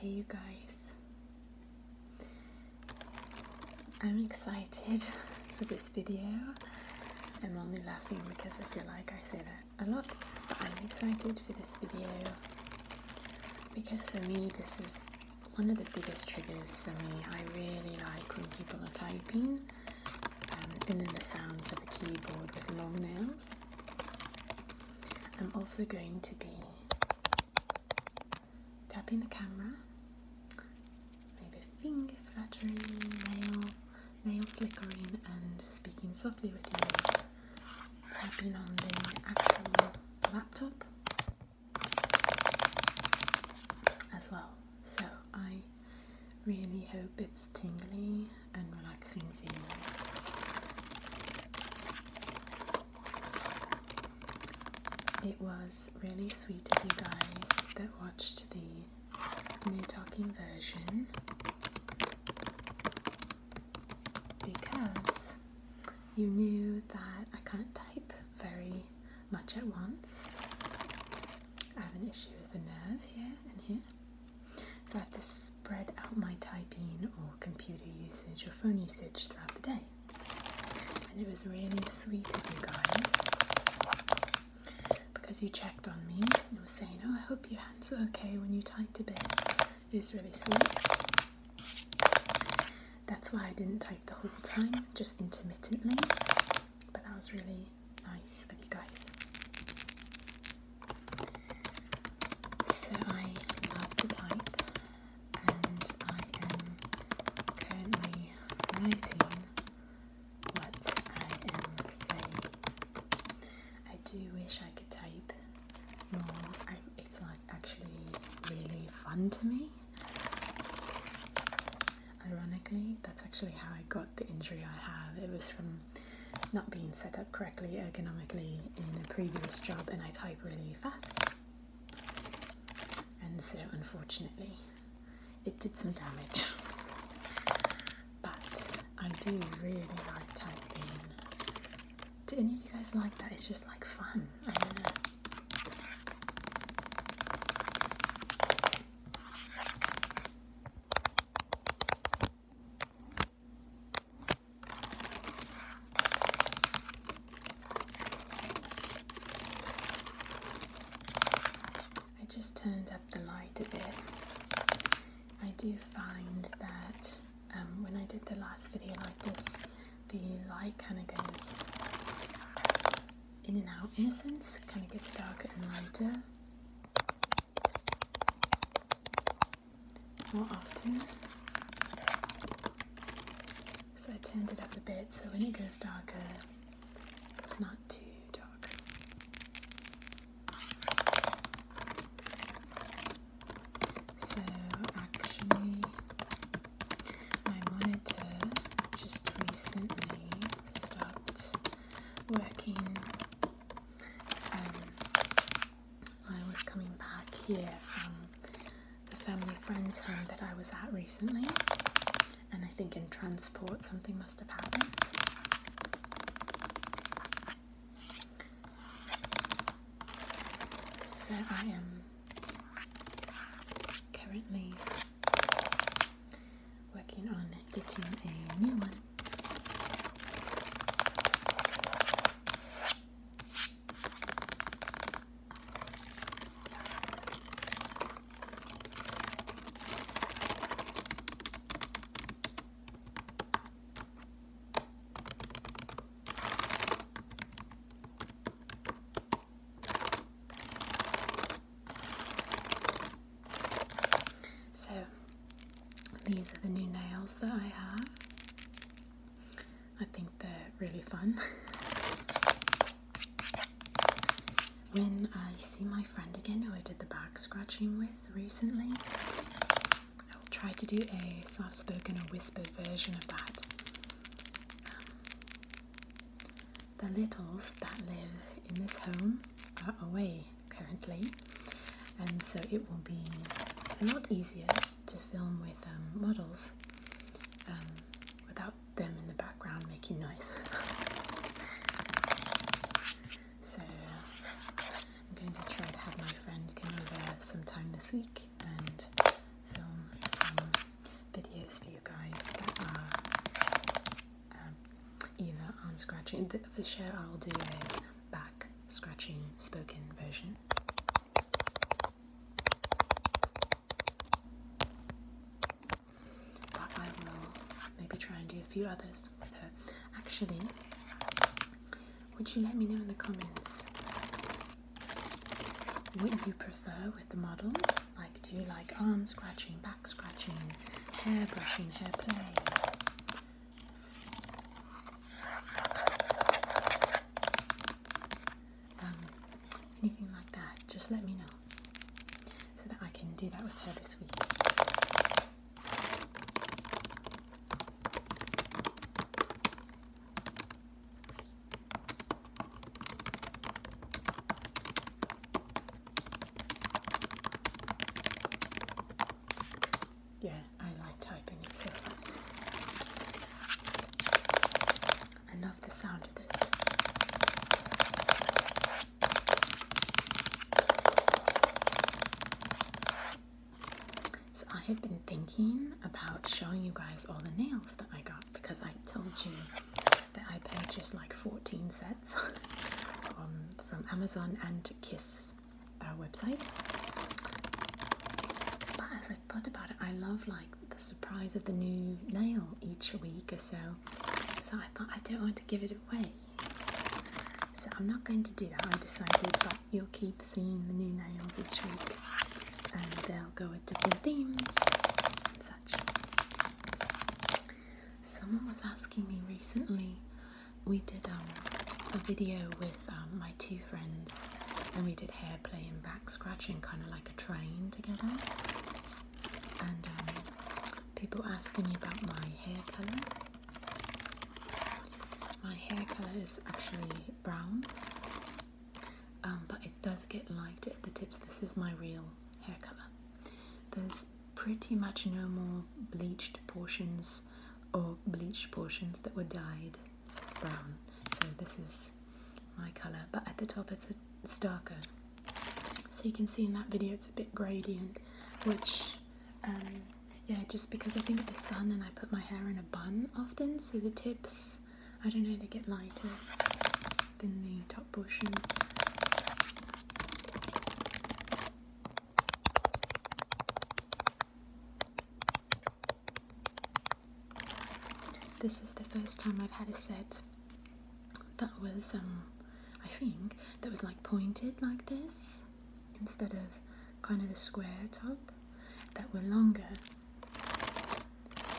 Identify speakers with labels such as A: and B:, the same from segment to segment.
A: Hey, you guys. I'm excited for this video. I'm only laughing because I feel like I say that a lot. But I'm excited for this video because for me, this is one of the biggest triggers for me. I really like when people are typing and um, then the sounds of a keyboard with long nails. I'm also going to be tapping the camera, maybe finger fluttering, nail, nail flickering and speaking softly with you, tapping on the actual laptop as well. So I really hope it's tingly and relaxing for you. It was really sweet of you guys that watched the new talking version because you knew that I can't type very much at once. I have an issue with the nerve here and here. So I have to spread out my typing or computer usage or phone usage throughout the day. And it was really sweet of you guys because you checked on me and were saying, oh, I hope your hands were okay when you typed a bit. It was really sweet. That's why I didn't type the whole time, just intermittently. But that was really nice of you guys. So I love to type, and I am currently writing what I am saying. I do wish I could type more. it's like actually really fun to me. Ironically, that's actually how I got the injury I have. It was from not being set up correctly ergonomically in a previous job, and I type really fast. And so, unfortunately, it did some damage. but I do really like typing do any of you guys like that? It's just like fun. I just turned up the light a bit. I do find that um, when I did the last video like this, the light kind of goes in and out in a sense, kind of gets darker and lighter more often. So I turned it up a bit so when it goes darker, it's not too dark. So actually, my monitor just recently stopped working. Um, I was coming back here from the family friend's home that I was at recently, and I think in transport something must have happened. So I am currently working on getting a new one. So these are the new nails that I have. I think they're really fun. when I see my friend again who I did the back scratching with recently, I will try to do a soft spoken or whispered version of that the littles that live in this home are away currently, and so it will be a lot easier to film with um, models um, without them in the background making noise. so I'm going to try to have my friend come over sometime this week and film some videos for you guys that are um, either I'm scratching. For sure, I'll do a back scratching spoken version. But I will maybe try and do a few others with her. Actually, would you let me know in the comments what you prefer with the model. Like, do you like arm scratching, back scratching, hair brushing, hair play? Um, anything like that, just let me know so that I can do that with her this week. Yeah, I like typing it so. I love the sound of this. So I have been thinking about showing you guys all the nails that I got because I told you that I purchased like 14 sets from Amazon and Kiss uh, website. But as I thought about it, I love like the surprise of the new nail each week or so. So I thought I don't want to give it away. So I'm not going to do that, I decided, but you'll keep seeing the new nails each week and they'll go with different themes and such. Someone was asking me recently, we did um, a video with um, my two friends and we did hair play and back scratching, kind of like a train together. And um, people asking me about my hair colour. My hair colour is actually brown um, but it does get light at the tips. This is my real hair color. There's pretty much no more bleached portions or bleached portions that were dyed brown. So this is my color, but at the top it's, a, darker. So you can see in that video it's a bit gradient, which um, yeah, just because I think it's the sun and I put my hair in a bun often, so the tips I don't know, they get lighter than the top portion. this is the first time I've had a set that was, um, I think, that was like pointed like this instead of kind of the square top that were longer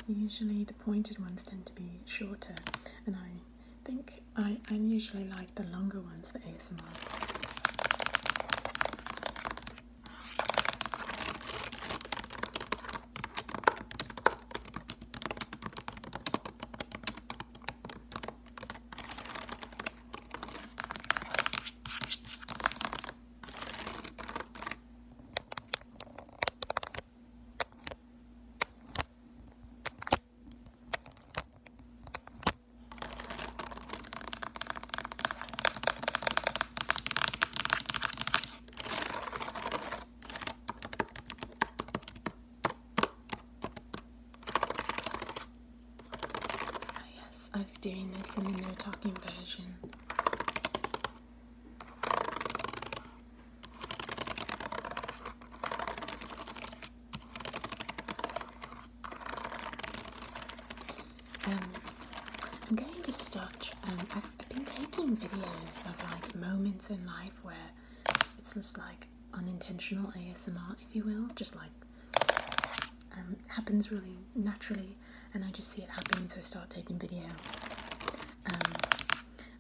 A: Usually the pointed ones tend to be shorter and I think I, I usually like the longer ones for ASMR. Ah, yes, I was doing this in the no talking version. Um, I'm going to start. Um, I've, been taking videos of like moments in life where it's just like unintentional ASMR, if you will, just like um, happens really naturally and I just see it happening, so I start taking video. Um,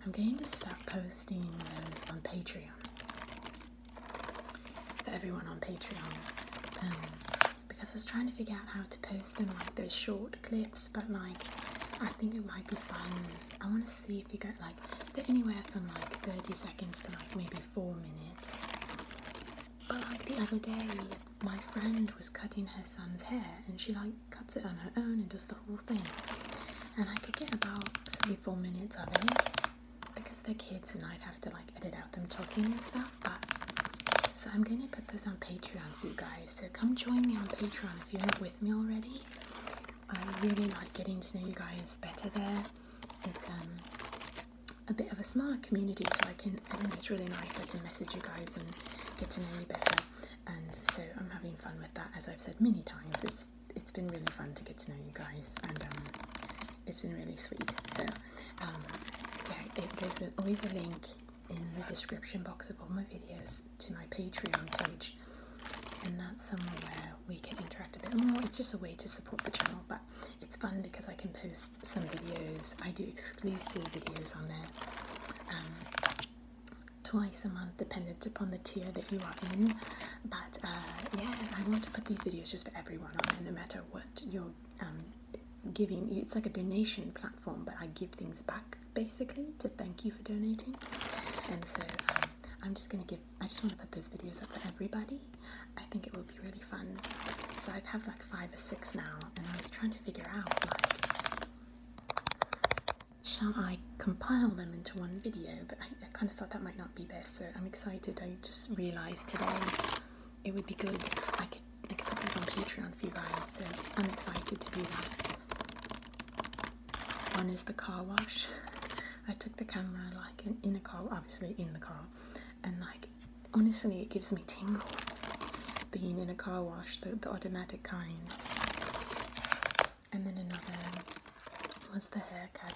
A: I'm going to start posting those on Patreon for everyone on Patreon um, because I was trying to figure out how to post them like those short clips, but like I think it might be fun. I want to see if you get like anywhere from like 30 seconds to like maybe four minutes. But like the other day, my friend was cutting her son's hair and she like cuts it on her own and does the whole thing and I could get about three four minutes of it because they're kids and I'd have to like edit out them talking and stuff but so I'm gonna put this on patreon for you guys so come join me on patreon if you're not with me already I really like getting to know you guys better there it's um a bit of a smaller community so I can I think it's really nice I can message you guys and get to know you better and so I'm having fun with that as I've said many times it's it's been really fun to get to know you guys and um, it's been really sweet so um, yeah, there's always a link in the description box of all my videos to my Patreon page and that's somewhere where we can interact a bit more. It's just a way to support the channel, but it's fun because I can post some videos. I do exclusive videos on there. Um, twice a month dependent upon the tier that you are in but uh, yeah I want to put these videos just for everyone on there no matter what you're um, giving it's like a donation platform but I give things back basically to thank you for donating and so um, I'm just gonna give I just want to put those videos up for everybody I think it will be really fun so I've had like five or six now and I was trying to figure out like Shall I compile them into one video? But I, kind of thought that might not be best, so I'm excited. I just realised today it would be good if I could, I could put these on Patreon for you guys, so I'm excited to do that. One is the car wash. I took the camera like in, a car, obviously in the car, and like honestly it gives me tingles being in a car wash, the, the automatic kind. And then another was the haircut.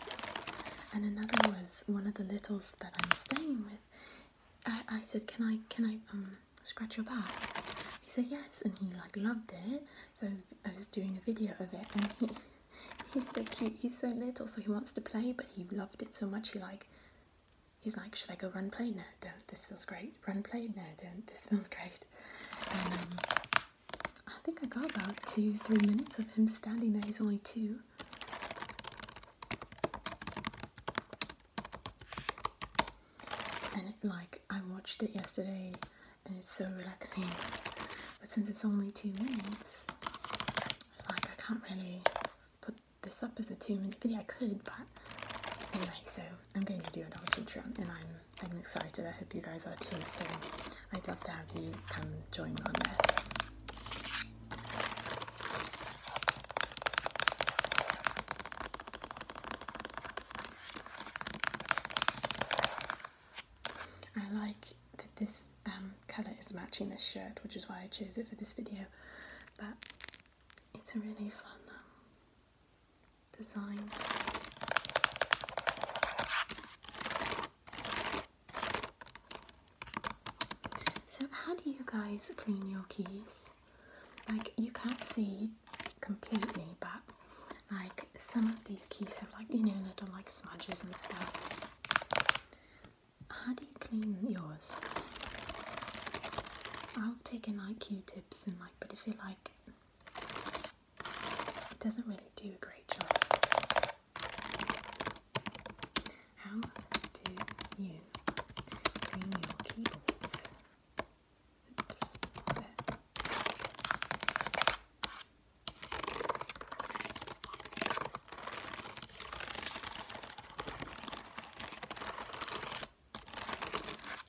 A: And another was one of the littles that I'm staying with. I, said, Can I can I um, scratch your back? He said yes and he like loved it. So I was, I was doing a video of it and he he's so cute, he's so little, so he wants to play, but he loved it so much he like he's like, should I go run play? No, don't. This feels great. Run play? No, don't. This feels great. Um, I think I got about two, three minutes of him standing there. He's only two. And like, I watched it yesterday and it's so relaxing. But since it's only two minutes, I was like, I can't really put this up as a two minute video. I could, but anyway, so I'm going to do it on Patreon, and I'm I'm excited. I hope you guys are too. So I'd love to have you come join me on there. I like that this um, colour is matching this shirt, which is why I chose it for this video. But it's really fun um, design. So, how do you guys clean your keys? Like, you can't see completely, but like some of these keys have like you know little like smudges and stuff. How do you clean yours? I've taken like Q-tips and like, but if you like, it doesn't really do a great job. How do you clean your keyboards?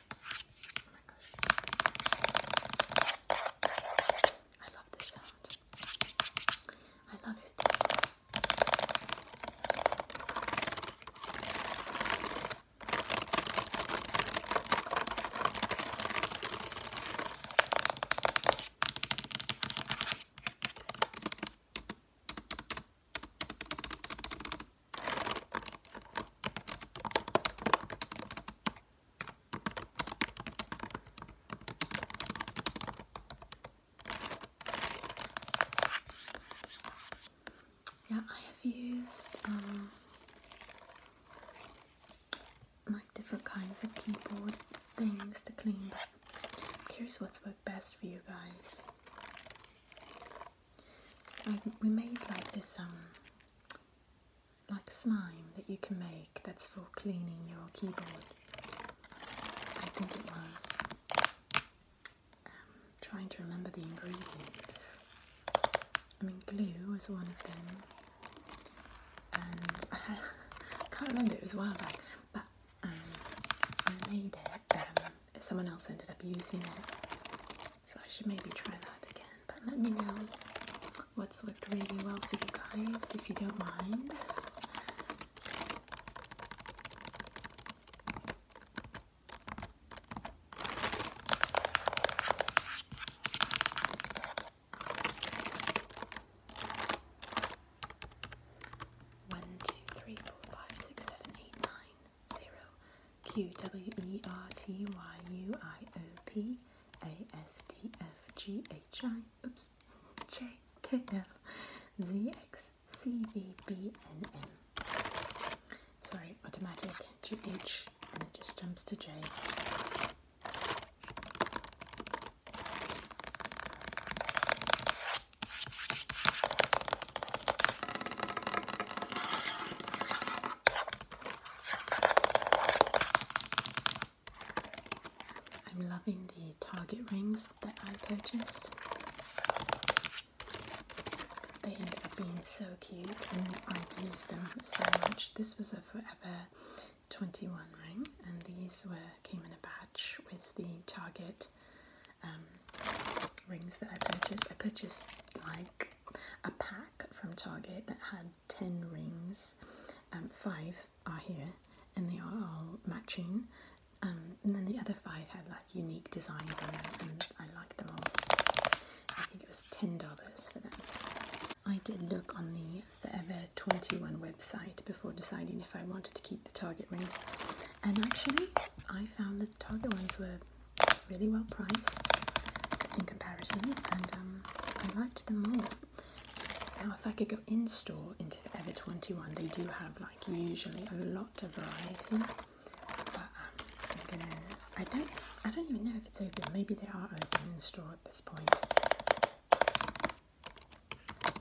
A: I love this sound. I love it. I yeah, I have used um, like different kinds of keyboard things to clean, but i what's worked best for you guys. we made like this um like slime that you can make that's for cleaning your keyboard. I think it was. Um, trying to remember the ingredients. I mean, glue was one of them, and I can't remember, it was a while back, but um, I made it. Um, someone else ended up using it so I should maybe try that again. But let me know what's worked really well for you guys, if you don't mind. One, two, three, four, five, six, seven, eight, nine, zero. Q W E R T Y U I O P a S T F G H I oops J K L Z X C V B N M. Sorry, automatic G H and it just jumps to J. I'm loving the Target rings that I purchased. They ended up being so cute and I have used them so much. This was a Forever 21 ring and these were came in a batch with the Target um, rings that I purchased. I purchased like a pack from Target that had 10 rings. and um, five are here and they are all matching. Um, and then the other five had like unique designs on them and I like them all. I think it was $10 for them. I did look on the Forever 21 website before deciding if I wanted to keep the Target rings. And actually, I found that the Target ones were really well priced in comparison, and um, I liked them all. Now, if I could go in store into the Ever 21, they do have like usually a lot of variety. But um, I don't even know if it's open. Maybe they are open in store at this point.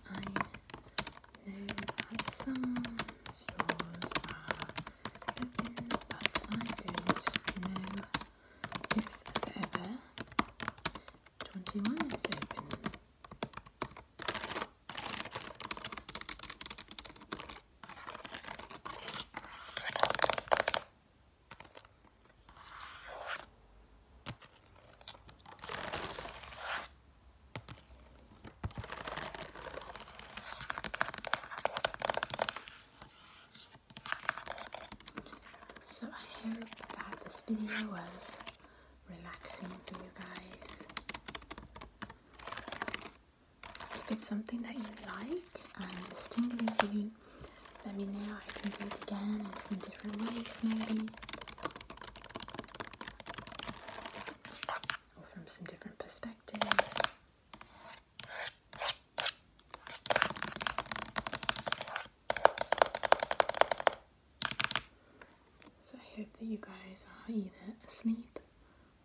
A: I know some stores are but I don't know if ever 21 is open. So I hope that this video was relaxing for you guys. If it's something that you like and is let me know. I can do it again in some different ways maybe. Or from some different perspectives. So I hope that you guys are either asleep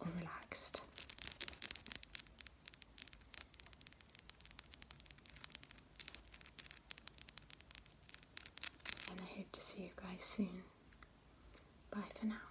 A: or relaxed. And I hope to see you guys soon. Bye for now.